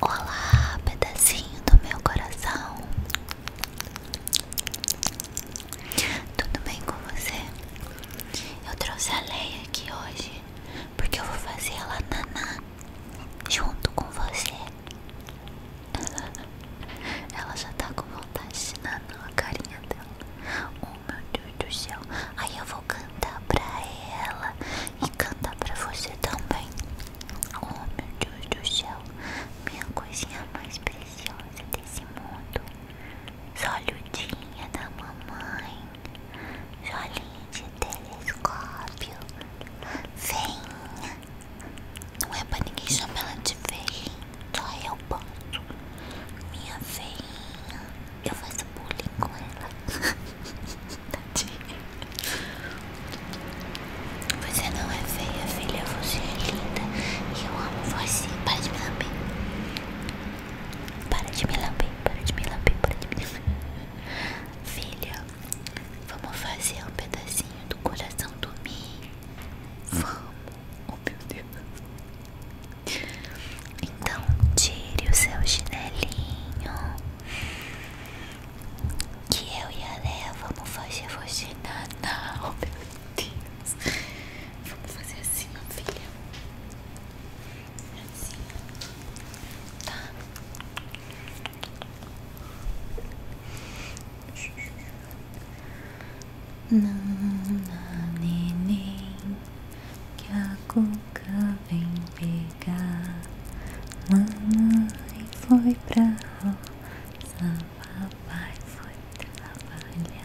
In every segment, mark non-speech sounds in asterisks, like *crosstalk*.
Olá, pedacinho do meu coração. Tudo bem com você? Eu trouxe a Leia aqui hoje porque eu vou fazer ela naná junto com você. *laughs* Ela já tá com vontade de naná, a carinha dela. Oh meu Deus do céu. Aí eu vou cantar pra ela e cantar pra você também. Oh meu Deus do céu, minha coisinha mais preciosa desse mundo. Solhudinha da mamãe, jolinha de telescópio. Veinha, não é pra ninguém chamar ela de veinha, só eu posso. Minha veinha, eu faço bullying com ela. *laughs* tadinha. Você não é feia, filha. Você é linda. E eu amo você. Para de me lamber. Para de me lamber. Para de me lamber. Filha, vamos fazer um pedacinho do coração do Mi. Vamos. Oh, meu Deus. Então, tire o seu chinelinho que eu e a Leia vamos fazer você naná. *laughs* Oh, meu Deus. Vamos fazer assim, minha filha. Assim. Tá. Não, não, neném, que a Nunca vem pegar Mamãe foi pra roça Papai foi trabalhar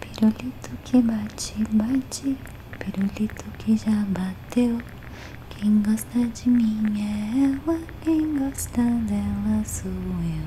Pirulito que bate, bate, pirulito que já bateu. Quem gosta de mim é ela, quem gosta dela sou eu.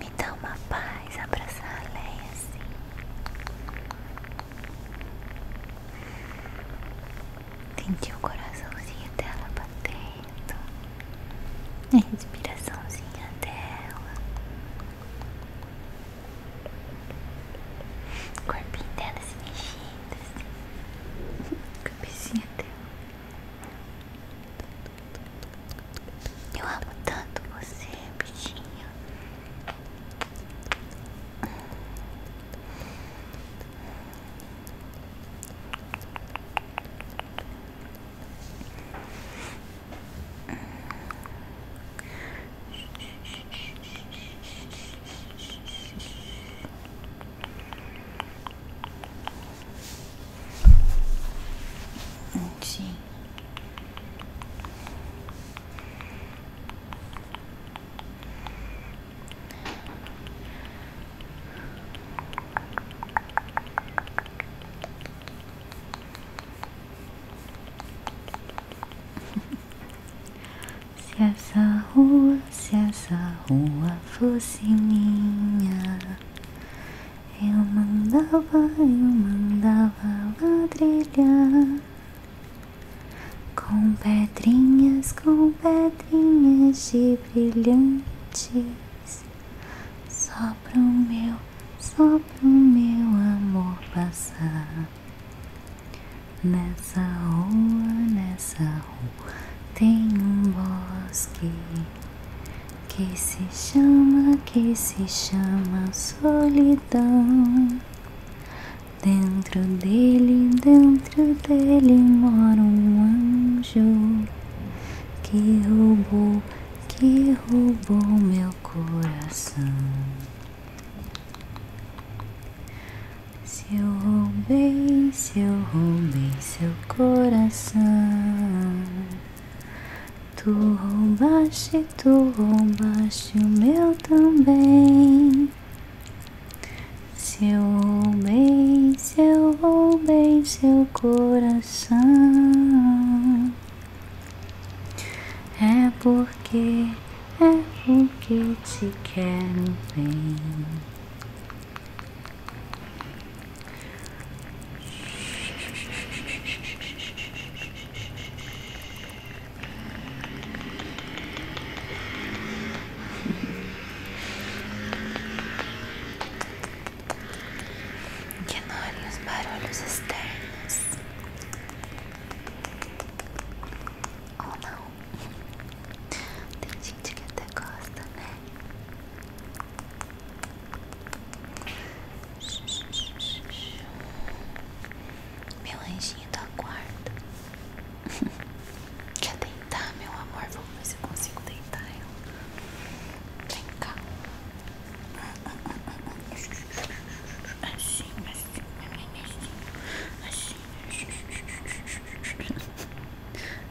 Me dá uma paz abraçar a Leia assim. Senti o coraçãozinho dela batendo, a respiraçãozinha dela, o corpinho dela se mexendo, a assim. *laughs* cabecinha dela. Eu amo tanto você, bichinho. Sim. *laughs* Se essa rua se essa rua fosse minha, eu mandava, eu mandava ladrilhar com pedrinhas, com pedrinhas de brilhantes, só pro meu, só pro meu amor passar nessa rua, nessa rua. Tem um bosque que se chama, que se chama solidão. Dentro dele, dentro dele mora um anjo que roubou, que roubou meu coração. Se eu roubei, se eu roubei seu coração, tu roubaste, tu roubaste o meu também. Se eu roubei, se eu roubei seu coração, é porque, é porque te quero bem que Ignorem os barulhos externos ou não. Tem gente que até gosta, né? Meu anjinho do tá guarda, Quer *laughs* deitar, meu amor? Vamos ver se eu consigo deitar ela. Vem cá. Assim, assim, assim, assim.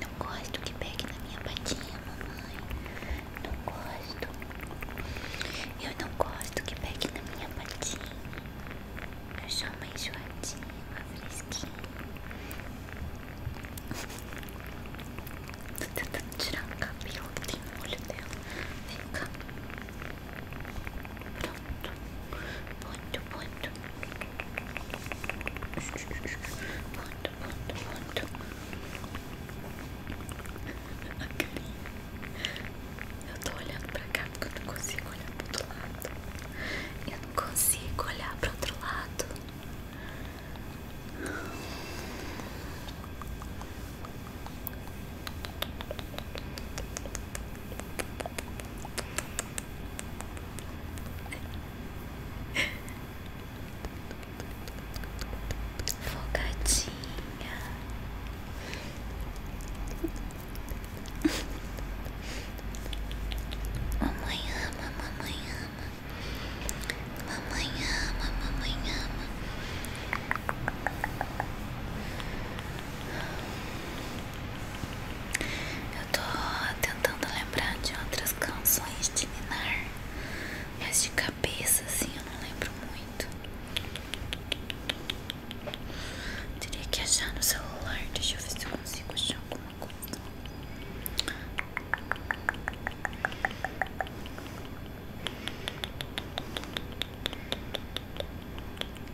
Não gosto que pegue na minha patinha, mamãe. Não gosto. Eu não gosto que pegue na minha patinha. Eu sou uma enjoadinha, fresquinha. Tô tentando tirar o cabelo que tem no olho dela. Fica. Pronto. Ponto, ponto. Ponto, ponto, ponto. Eu tô olhando pra cá porque eu não consigo olhar pro outro lado. Eu não consigo olhar pro outro lado. Fogadinha. mamãe ama, mamãe ama. Mamãe ama, mamãe ama. Eu tô tentando lembrar de outras canções de Minar, mas de cabeça assim eu não lembro muito. Teria que achar no celular, deixa eu ver se eu consigo achar alguma coisa.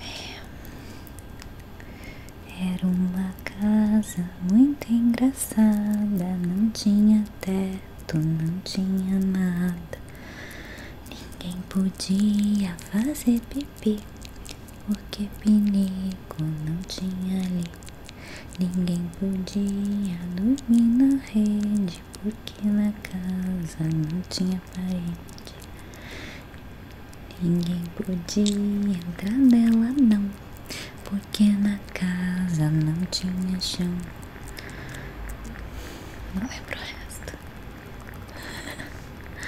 É. Era uma casa muito engraçada, não tinha teto, não tinha nada. Ninguém podia fazer pipi, porque pinico não tinha ali. Ninguém podia dormir na rede, porque na casa não tinha parede. Ninguém podia entrar nela, não, porque na casa não tinha chão. Não lembro é o resto.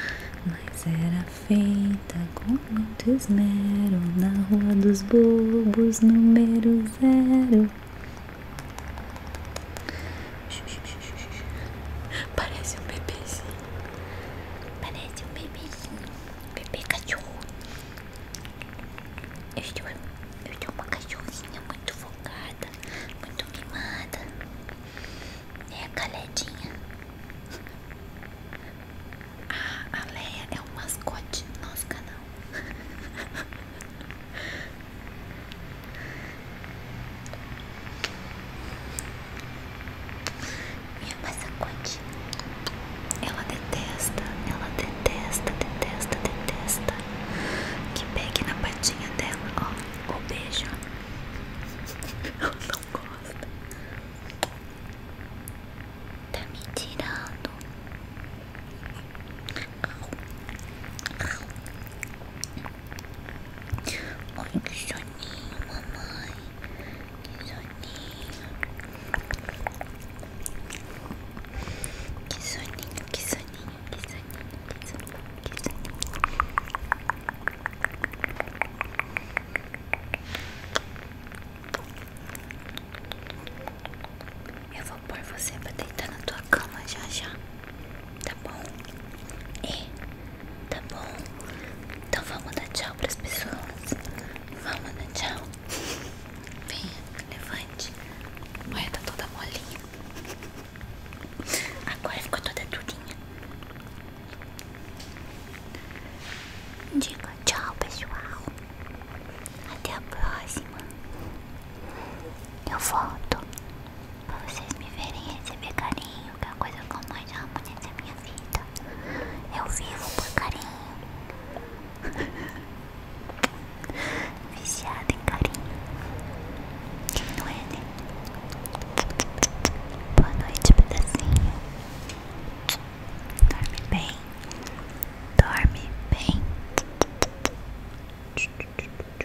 *laughs* Mas era feita com muito esmero na Rua dos Bobos, número zero. Parece um bebezinho. Parece um bebezinho. Bebê cachorro. Eu estou, eu estou uma cachorrinha muito focada, muito mimada. É né, a Galedinha. Ah, a Leia é o mascote do nosso canal. *laughs* Minha passacote. É é. Ela detesta, ela detesta, detesta, detesta. Que pegue na patinha dela, ó. O beijo. *laughs* Ela não gosta. Tá me tirando. Au. Au. Ai, que soninho, mamãe. Que soninho. Que soninho, que soninho, que soninho, que soninho, Eu vou pôr você pra deitar na tua cama já já tá bom? e é. tá bom? Então vamos dar tchau pras pessoas. Vamos dar tchau. Venha, levante. Olha, tá toda molinha. Agora ficou toda durinha. Diga tchau, pessoal. Até a próxima. Eu volto pra vocês me verem receber carinho, que é a coisa que mais amo da minha vida. Eu vivo por carinho. *laughs* viciado em carinho. Quem não é, né? Boa noite, pedacinho. Dorme bem. Dorme bem.